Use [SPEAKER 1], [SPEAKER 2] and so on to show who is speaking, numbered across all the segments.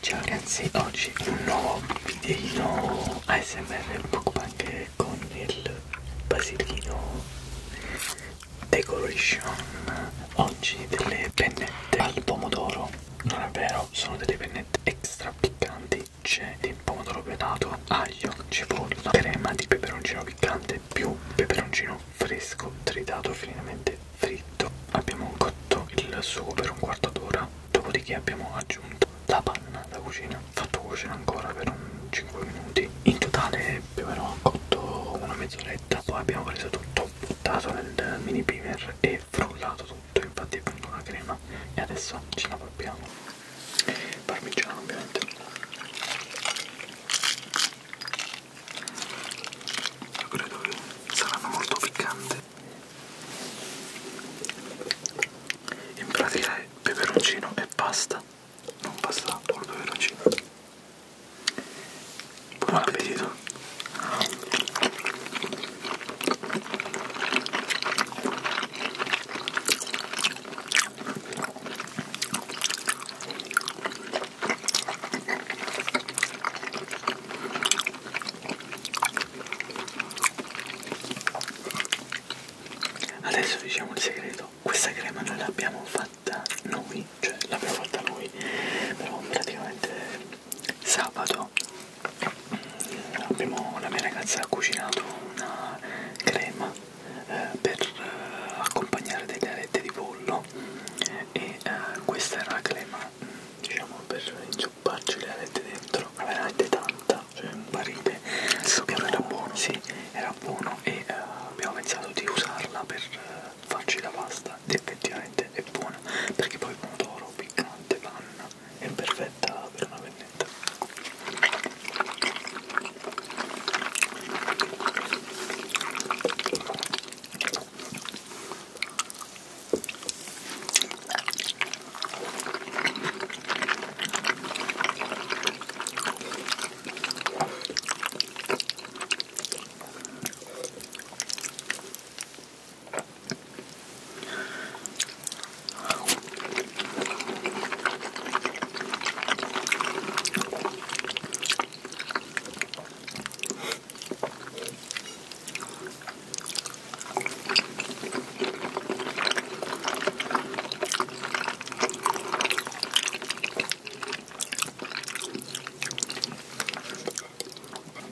[SPEAKER 1] Ciao ragazzi, oggi un nuovo videino ASMR Bookbank con il basilichino decoration oggi delle pennette al pomodoro non è vero sono delle pennette extra piccanti frecce di pomodoro granato, aglio, cipolla, crema di peperoncino piccante più peperoncino fresco tritato finemente fritto. Abbiamo cotto il sugo per un quarto d'ora, dopodiché abbiamo aggiunto la panna da cucina, fatto cuocere ancora per un 5 minuti. In totale più o meno ho cotto una mezz'oretta, poi abbiamo preso tutto, buttato nel mini primer e frullato tutto, infatti è venuta una crema e adesso ce la proviamo parmigiano ovviamente io credo che saranno molto piccanti in pratica è peperoncino e pasta non pasta col peperoncino buon appetito Adesso diciamo il segreto, questa crema non l'abbiamo fatta noi, cioè l'abbiamo fatta noi, però praticamente sabato abbiamo, la mia ragazza ha cucinato una crema eh, per eh, accompagnare delle arette di pollo e eh, questa era la crema diciamo per inzupparci le arette dentro ma veramente tanta cioè un barile sapore era buono sì era buono e eh, abbiamo pensato di usarla per eh, farci la pasta ed effettivamente è buona perché poi pomodoro piccante panna è perfetta per una pennetta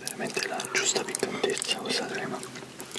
[SPEAKER 1] veramente la giusta piccantezza questa crema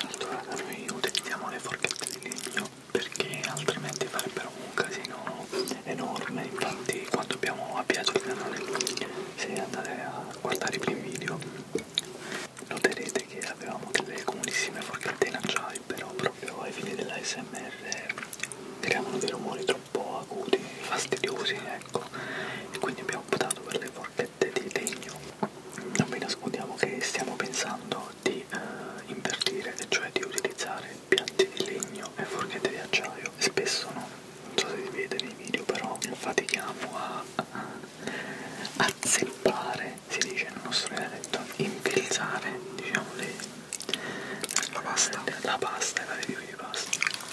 [SPEAKER 1] Allora noi utilizziamo le forchette di legno perché altrimenti farebbero un casino enorme, infatti quando abbiamo avviato il canale, se andate a guardare i primi video, noterete che avevamo delle comunissime forchette in acciaio, però proprio ai fini della SMR creavano dei rumori troppo troppo acuti, fastidiosi, ecco, e quindi abbiamo optato per le forchette di legno. Non vi nascondiamo che stiamo pensando di eh, invertire, cioè di utilizzare piatti di legno e forchette di acciaio. Spesso no, non so se si vede nei video, però fatichiamo a, a, a zeppare, si dice nel nostro dialetto, infilzare, diciamo, le, la pasta, la pasta e la review di pasta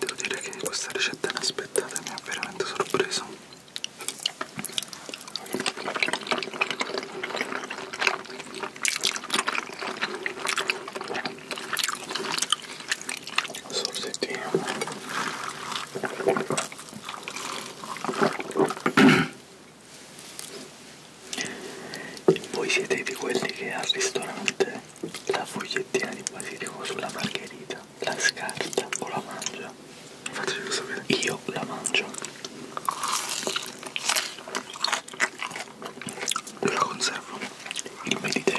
[SPEAKER 1] Devo dire che questa ricetta inaspettata mi ha veramente sorpreso. Sorsettino. Voi siete di quelli che al ristorante la fogliettina di basilico sulla margherita la scarta o la mangia? Faccio sapere. Io la mangio. Io la conservo. Il Mediterraneo.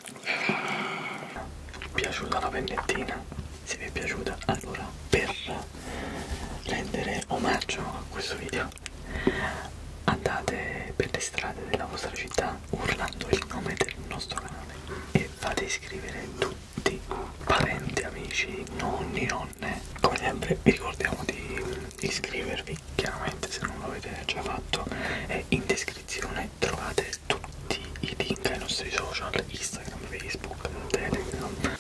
[SPEAKER 1] piaciuta la pennettina? Se vi è piaciuta, allora per rendere omaggio a questo video andate per le strade della vostra città urlando il nome del nostro canale e fate iscrivere tutti, parenti, amici, nonni, nonne. Come sempre vi ricordiamo di iscrivervi, chiaramente se non l'avete già fatto è in descrizione descrizione trovate tutti i link ai nostri social, Instagram, Facebook, Telegram.